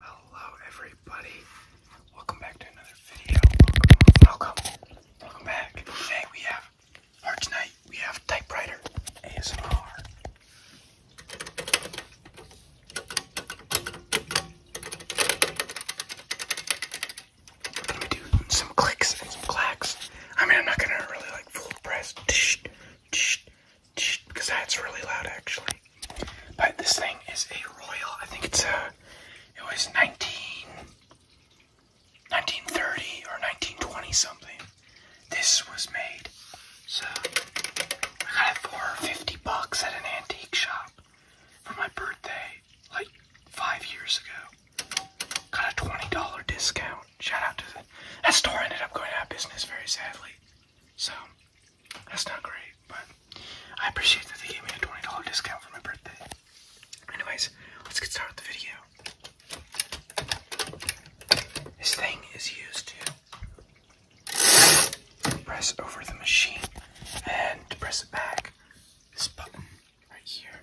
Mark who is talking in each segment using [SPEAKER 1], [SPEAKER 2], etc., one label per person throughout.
[SPEAKER 1] Hello everybody, welcome back to another video, welcome, welcome, back. Today we have, or tonight we have typewriter ASMR. Let me do some clicks and some clacks. I mean I'm not gonna really like full press, because that's really loud actually. But this thing is a Royal. I think it's a. It was 19, 1930 or 1920 something. This was made. So I got it for 50 bucks at an antique shop for my birthday, like five years ago. Got a $20 discount. Shout out to that store ended up going out of business very sadly. So that's not great, but I appreciate that they gave me a $20 discount for my birthday. Anyways, let's get started with the video. This thing is used to press over the machine and to press it back. This button right here.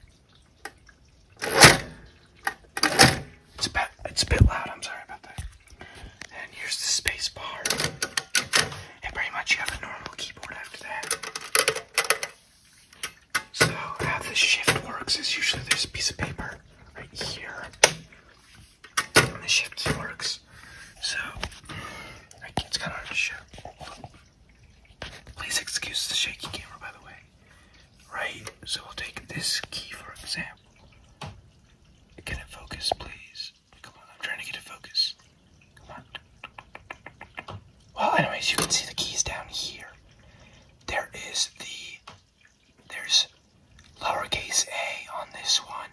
[SPEAKER 1] It's a bit, it's a bit loud. I'm sorry about that. And here's the space bar. And pretty much you have a normal keyboard after that. So how the shift works is usually there's a piece of paper right here. And the shift works. So it's kind of hard to show. Please excuse the shaky camera, by the way. Right, so we'll take this key for example. Get it focus, please. Come on, I'm trying to get it focus. Come on. Well, anyways, you can see the keys down here. There is the there's lowercase a on this one,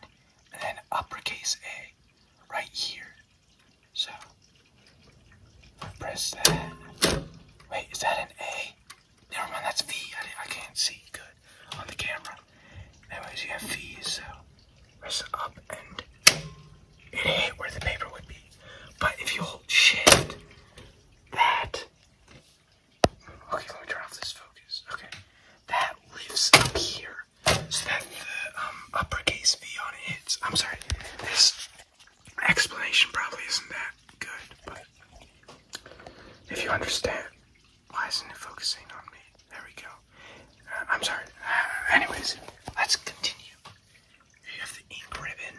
[SPEAKER 1] and then uppercase a right here. So press that. Wait, is that an A? Never mind, that's V. I, I can't see good on the camera. Anyways, you have V, so press uh, up and it hit where the paper would be. But if you hold shift, that. Okay, let me turn off this focus. Okay, that lifts up here so that the um, uppercase V on it hits. I'm sorry, this explanation probably isn't that good, but if you understand, why isn't it focusing on me? There we go. Uh, I'm sorry. Uh, anyways, let's continue. You have the ink ribbon.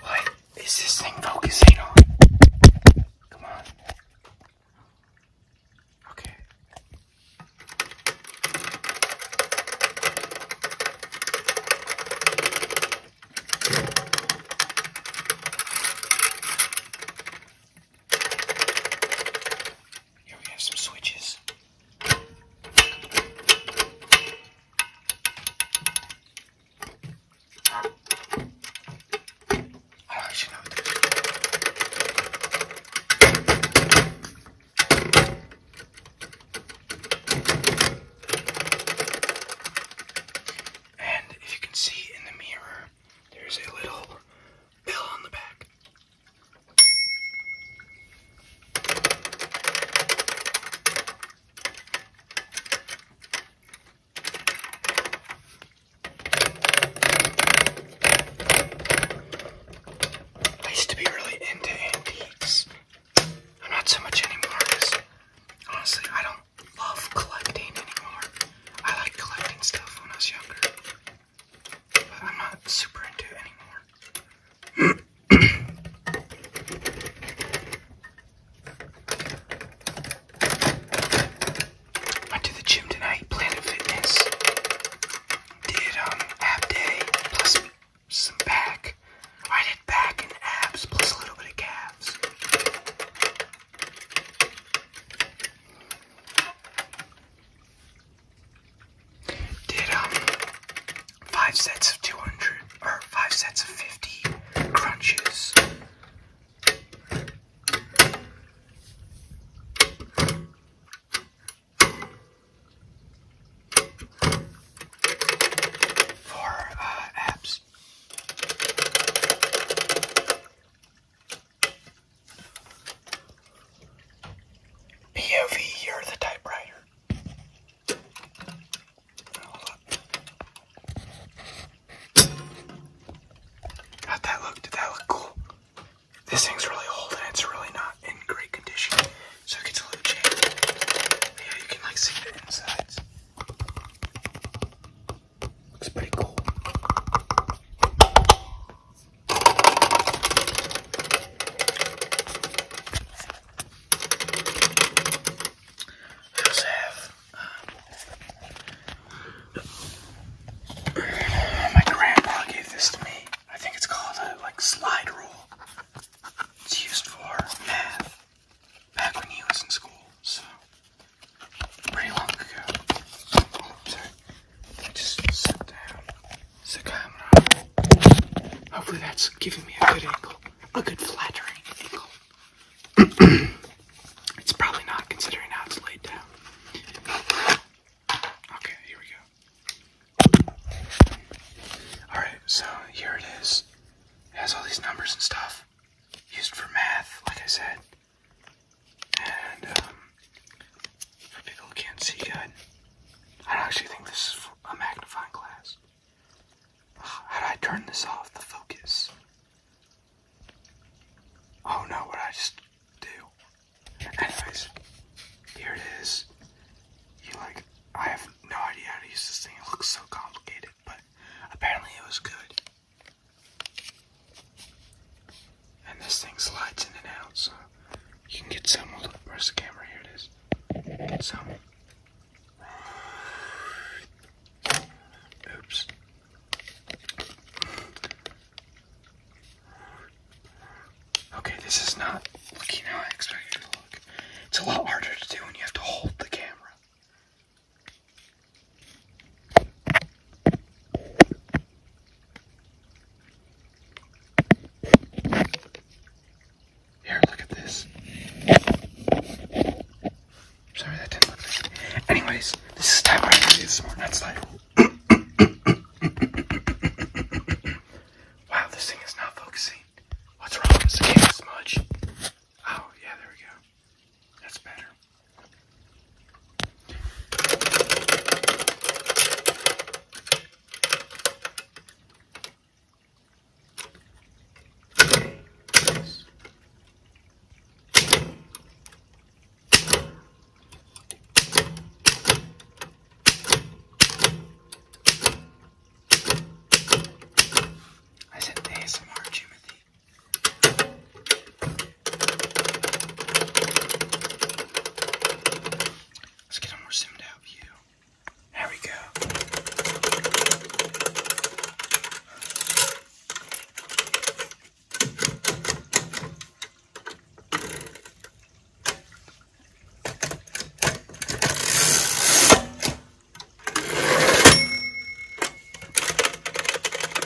[SPEAKER 1] What is this thing focusing on? Come on. Okay. Here we have some switches. I actually know what and if you can see in the mirror, there's a little bell on the back. I used to be really into antiques. I'm not so much anymore honestly, I don't love collecting anymore. I like collecting stuff when I was younger, but I'm not super into it anymore. Went to the gym tonight, Planet Fitness did um ab day plus some back. I did back and abs plus a little bit of calves. Did um five sets of two hundred or five sets of fifty crunches for uh, apps. POV, you're the typewriter. that look? cool? This thing's really old and it's really not in great condition, so it gets a little jaded. yeah, you can like see the insides. Looks pretty cool. I also um, my grandpa gave this to me. I think it's called a like slide rule. It's used for math back when he was in school, so pretty long ago. Oh, sorry. Just sit down. Sit down. Hopefully that's giving me a good angle. A good flattering angle. it's probably not considering how it's laid down. Okay, here we go. Alright, so here it is. has all these numbers and stuff used for math, like I said. And, um, for people who can't see good, I don't actually think this is a magnifying glass. How do I turn this off? The focus. Oh no, what I just do. Anyways, here it is. You like, I have no idea how to use this thing. It looks so complicated, but apparently it was good. And this thing slides in and out, so you can get some. Look, where's the camera? Here it is. Get some. Oops. Okay, this is not looking how I expected it to look. It's a lot harder to do when you have to hold the camera. Here, look at this. Sorry, that Anyways, this is time where I do this more, not slide. wow, this thing is not focusing. What's wrong? Is the smudge? Oh, yeah, there we go. That's better. I said ASMR Jimothy. Let's get a more zoomed out view. There we go.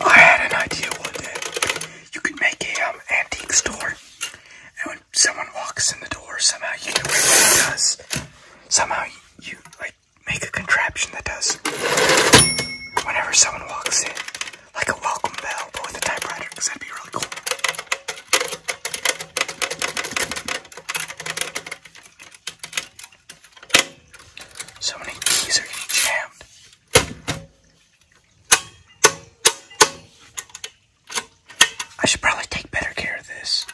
[SPEAKER 1] I had an idea You could make a um, antique store, and when someone walks in the door, somehow you know what it Somehow you like make a contraption that does whenever someone walks in, like a welcome bell, but with a typewriter, because that'd be really cool. So many keys are getting jammed. I should probably take better care of this.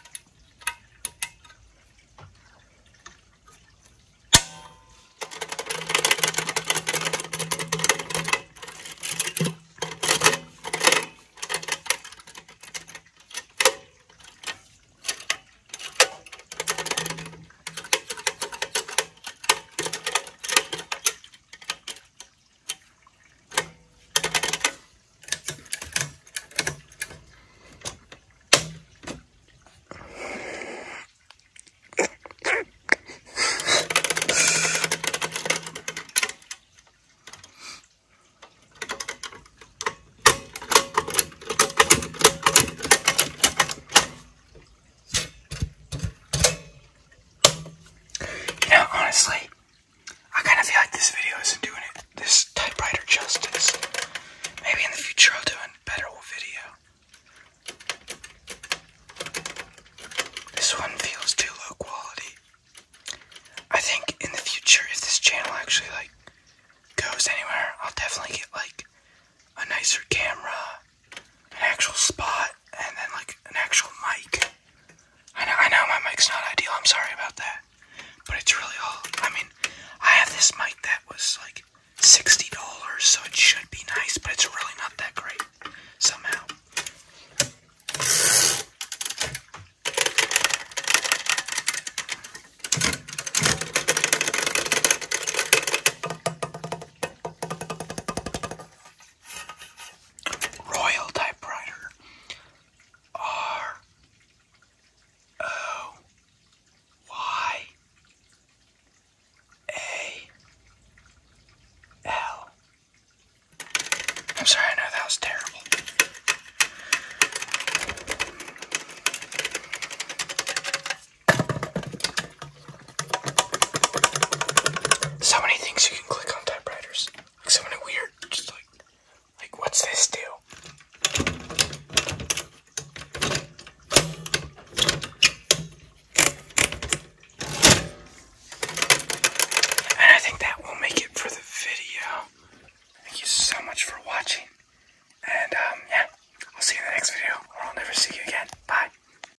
[SPEAKER 1] You know, honestly, I kind of feel like this video isn't doing it this typewriter justice. Maybe in the future I'll do a better video. This one feels too low quality. I think in the future, if this channel actually like goes anywhere, I'll definitely get like a nicer camera, an actual spot, and then like an actual mic. I know, I know my mic's not ideal. I'm sorry about that, but it's really all. I mean, I have this mic that was like sixty dollars, so it should be nice, but it's really not that great somehow. Royal typewriter. R O Y A L. I'm sorry, I that was terrible. So many things you can click on typewriters. Like so many weird, just like, like what's this do? And I think that will make it for the video. Thank you so much for watching. And um, yeah, I'll see you in the next video, or I'll never see you again. Bye.